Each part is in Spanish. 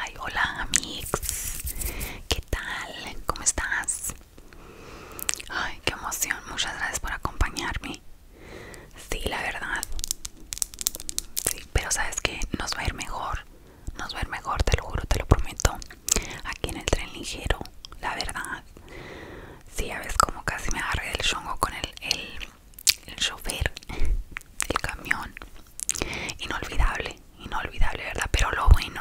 Ay, hola amigos, ¿qué tal? ¿Cómo estás? Ay, qué emoción, muchas gracias por acompañarme. Sí, la verdad. Sí, pero sabes que nos va a ir mejor, nos va a ir mejor, te lo juro, te lo prometo. Aquí en el tren ligero, la verdad. Sí, a ves como casi me agarré del chongo con el, el chofer, el camión inolvidable, inolvidable, ¿verdad? Pero lo bueno,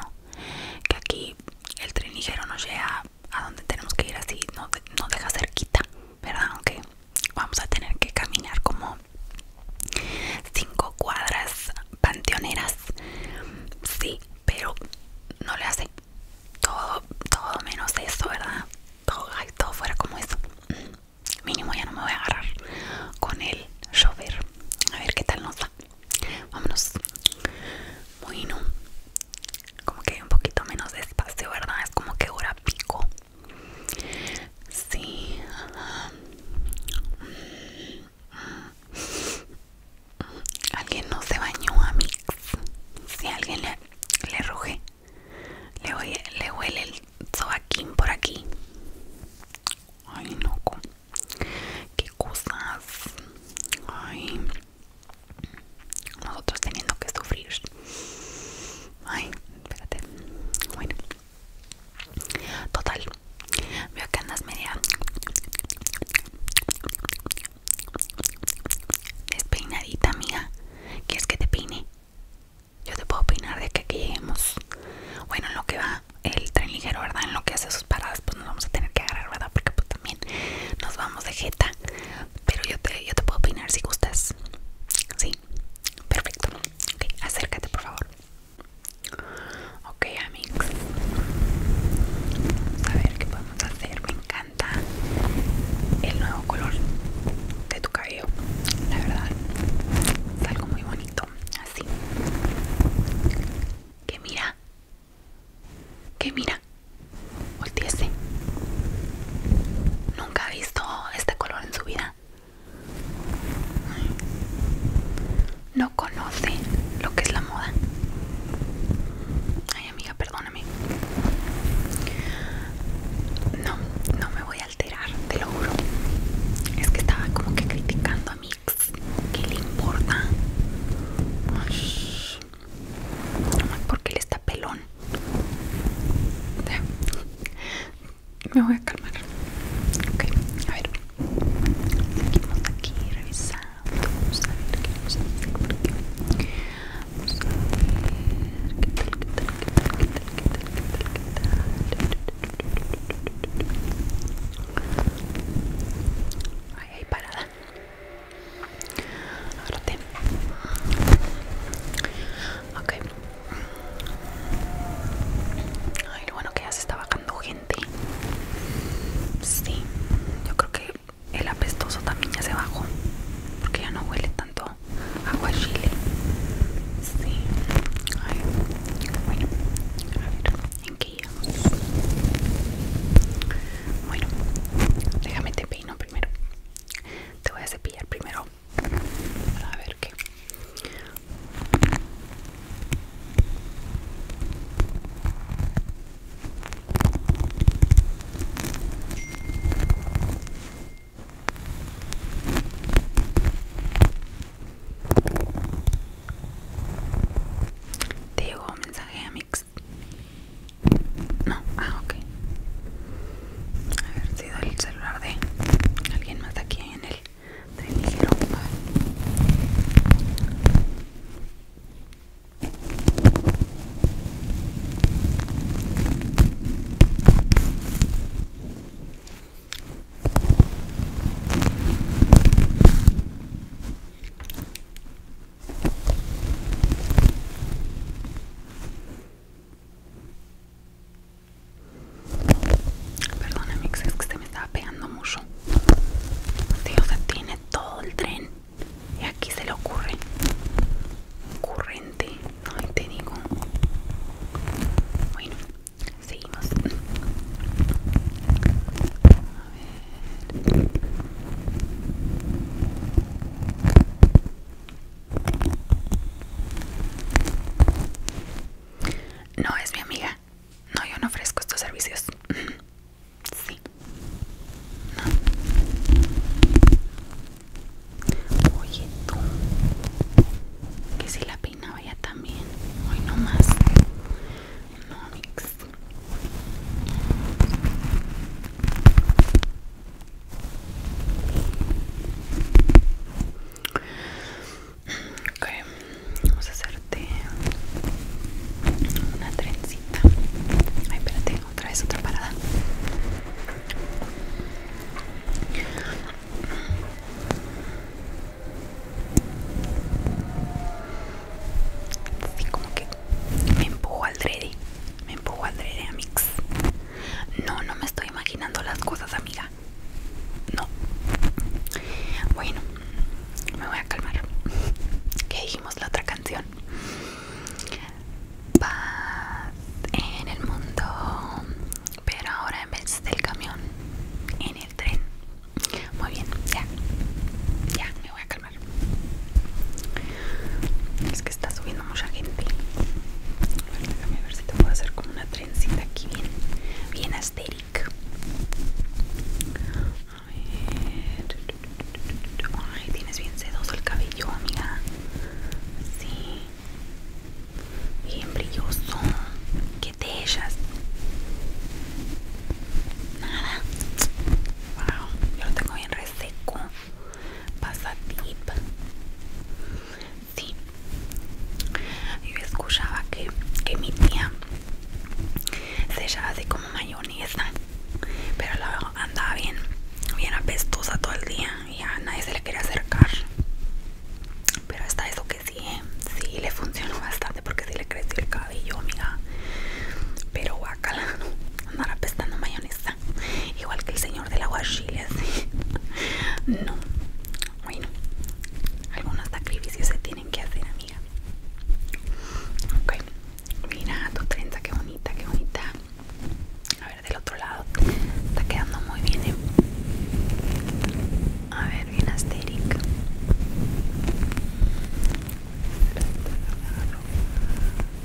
que aquí el tren ligero nos llega a donde tenemos que ir así, nos, deja cerquita, ¿verdad? Aunque vamos a tener que caminar como cinco cuadras panteoneras, sí, pero no le hace todo, todo menos eso, ¿verdad? todo fuera como eso mínimo ya no me voy a agarrar con el llover a ver qué tal nos da vámonos bueno como que un poquito menos de espacio verdad es como que hora pico sí alguien no se bañó a mix si alguien le, roje le, huele el sobaquín por aquí Ay, loco. Qué cosas. Ay. Nosotros teniendo que sufrir. Ay, espérate. Bueno. Total. Veo que andas media despeinadita, amiga. ¿Quieres que te peine? yo te puedo opinar de que aquí lleguemos. Bueno, en lo que va el tren ligero, ¿verdad? En lo que hace sus paradas, pues nos vamos a tener que agarrar, ¿verdad? Porque pues también nos vamos de jeta. Pero yo te, yo te puedo opinar si gustas. Sí, perfecto. Ok, acércate, por favor. Ok, Amix a ver qué podemos hacer. Me encanta el nuevo color de tu cabello. La verdad, es algo muy bonito así. Que mira, que mira, volteese. Nunca ha visto este color en su vida. No conoce lo que es la moda. Ay amiga, perdóname. No, no me voy alterar, te lo juro. Es que estaba como que criticando a Mix. ¿Qué le importa? porque él está pelón. Me voy a calmar. Ok, a ver. Seguimos aquí revisando. Vamos a ver qué vamos a por qué Vamos a ver qué qué tal, qué tal, qué tal, qué tal, qué tal, qué tal. Ahí hay parada. Agárrate. Ok. Ay, lo bueno que ya se está bajando gente. Sí, yo creo que el apestoso también ya se bajó. Porque ya no huele tanto Agua chile Sí. Bueno, a ver, ¿en qué Bueno, déjame te peino primero. Te voy a cepillar primero. A ver qué. Te llegó un mensaje a Mix. No, ah, ok. si sido el celular de alguien más de aquí en el tren Perdona, Mix, es que se me estaba pegando mucho. Tío, se tiene todo el tren. Y aquí se le ocurre. Corriente. Ay, te digo. Bueno, seguimos No es mi amiga. No, yo no ofrezco estos servicios. Sí. Oye, tú. Que si la no vaya también. Hoy no más. No, mix. Ok, vamos a hacerte una trencita. Ay, espérate, otra vez otra parada. Así como que me empujo al dreddy me empujo al dreddy, amigos. No, no me estoy imaginando las cosas, amiga. No. Bueno, me voy a calmar. ¿Qué dijimos la otra canción? Paz en el mundo, pero ahora en vez del camión en el tren muy bien ya ya me voy a calmar es que está subiendo mucha gente a ver, déjame ver si te puedo hacer como una trencita aquí bien bien asteric a ver ay tienes bien sedoso el cabello amiga sí bien brilloso que te echas nada wow yo lo tengo bien reseco pasa tip sí yo escuchaba que, que mi tía se echaba así como mayonesa pero la andaba bien bien apestosa todo el día y nadie se le quiere acercar. Pero está eso que sí, eh, sí le funcionó bastante porque sí le creció el cabello, amiga. Pero guacala, andar apestando mayonesa. Igual que el señor del la así. No. Bueno, algunos sacrificios se tienen que hacer, amiga. Ok, mira tu trenza, qué bonita, qué bonita del otro lado. Está quedando muy bien. ¿eh? A ver, bien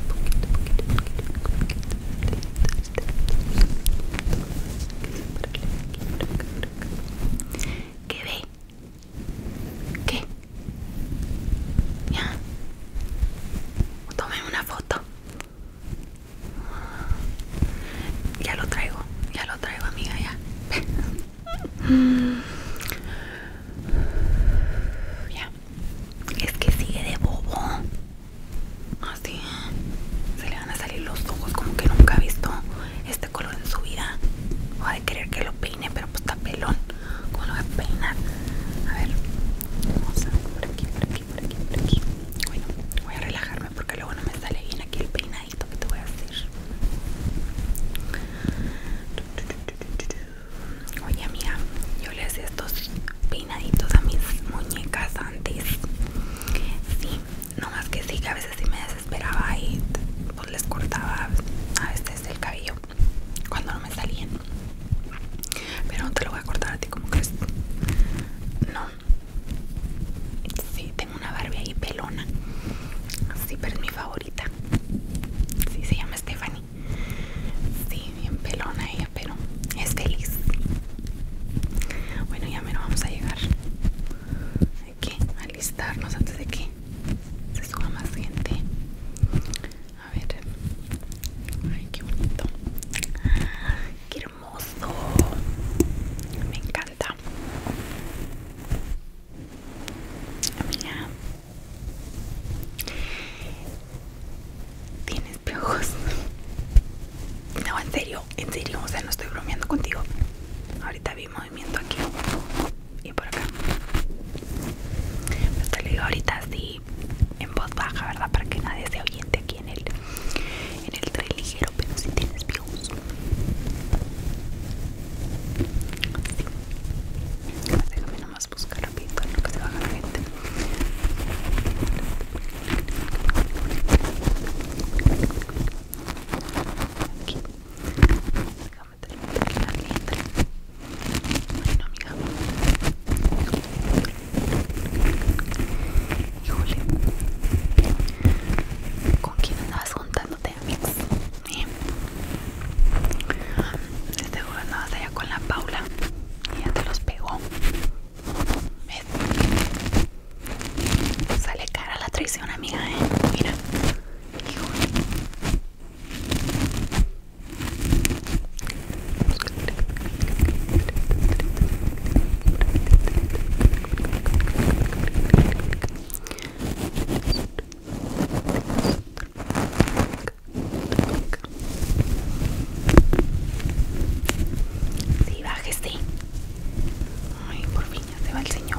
poquito ¿Qué ve? ¿Qué? Ya. una foto. Ya lo traigo, ya lo traigo, amiga, ya. ya. Es que sigue de bobo. Así. Se le van a salir los ojos como que nunca ha visto este color en su vida. Va a querer que lo peine, pero pues está pelón. ¿Cómo lo voy a peinar? A ver. Vamos a por aquí, por aquí, por aquí, por aquí. Bueno, voy a relajarme porque luego no me sale bien aquí el peinadito que te voy a hacer. Oye mía yo le hacía estos peinaditos a mis muñecas antes. Sí, no más que sí, que a veces sí me desesperaba y pues les cortaba a veces el cabello cuando no me salían. Pero no te lo voy a cortar a ti como crees es. No, Sí, tengo una Barbie ahí pelona. Sí, pero es mi favorita. Sí, se llama Stephanie. Sí, bien pelona ella, pero es feliz. Bueno, ya menos vamos a llegar. Hay que alistarnos antes de que se suba más gente. A ver. Ay, qué bonito. Quiero me encanta. mía Tienes pegos. No, en serio, en serio, o sea, no estoy bromeando contigo. Ahorita vi movimiento aquí y por acá. Pues te lo digo ahorita así en voz baja, ¿verdad? Para que nadie se oyente en el, en ligero, pero si tienes views. Sí. Déjame nomás buscar rápido en lo que se baja la gente. Aquí. Déjame terminar la letra. Bueno, amiga. Híjole. ¿Con quién andabas juntándote, amigos? ¿Eh? Este juego andabas allá con la Paula y ya te los pegó. ¿Ves? Sale cara la traición, amiga, ¿eh? Mira. Híjole. Sí, bájese. Este. Ay, por fin se va el señor.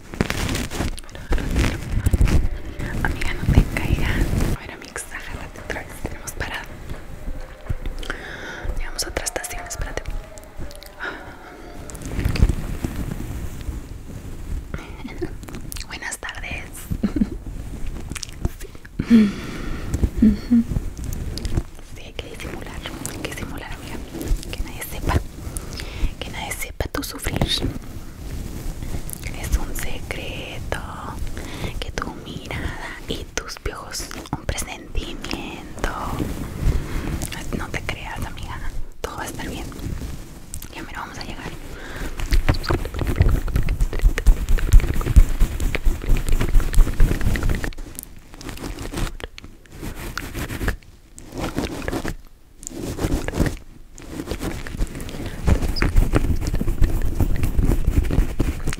Amiga, no te caigas. ver, mix, agárrate otra vez. Tenemos parada. Llegamos a otra estación. Espérate. Buenas tardes. Sí. Sí, hay que disimular, hay que disimular, amiga, que nadie sepa que nadie sepa tu sufrir. Es un secreto que tu mirada y tus ojos un presentimiento. No te creas, amiga, todo va a estar bien. Ya mero vamos a llegar.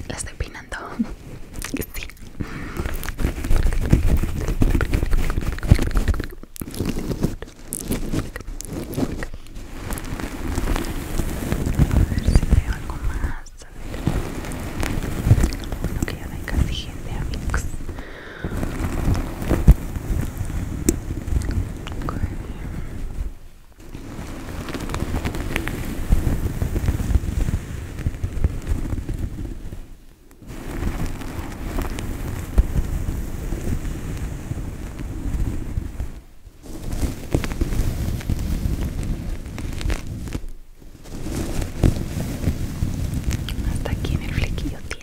La estoy peinando. Sí. A ver si veo algo más. A ver. Bueno, que ya no hay casi gente, amigos. Hasta aquí en el flequillo tiene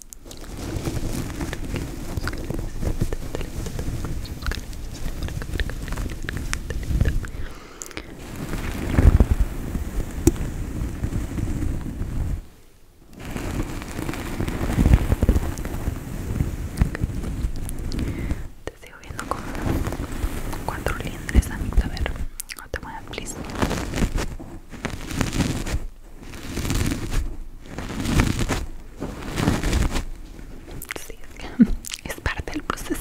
Te estoy viendo con cuatro lindres a ver, ver, No te muevas, please. Sí, es, que es parte del proceso.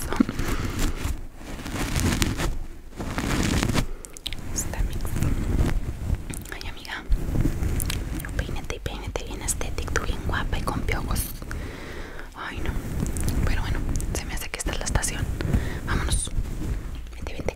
Está Ay, amiga, peínate y peínate bien estético, tú bien guapa y con piojos. Ay, no. Pero bueno, se me hace que esta es la estación. Vámonos. Vente, vente.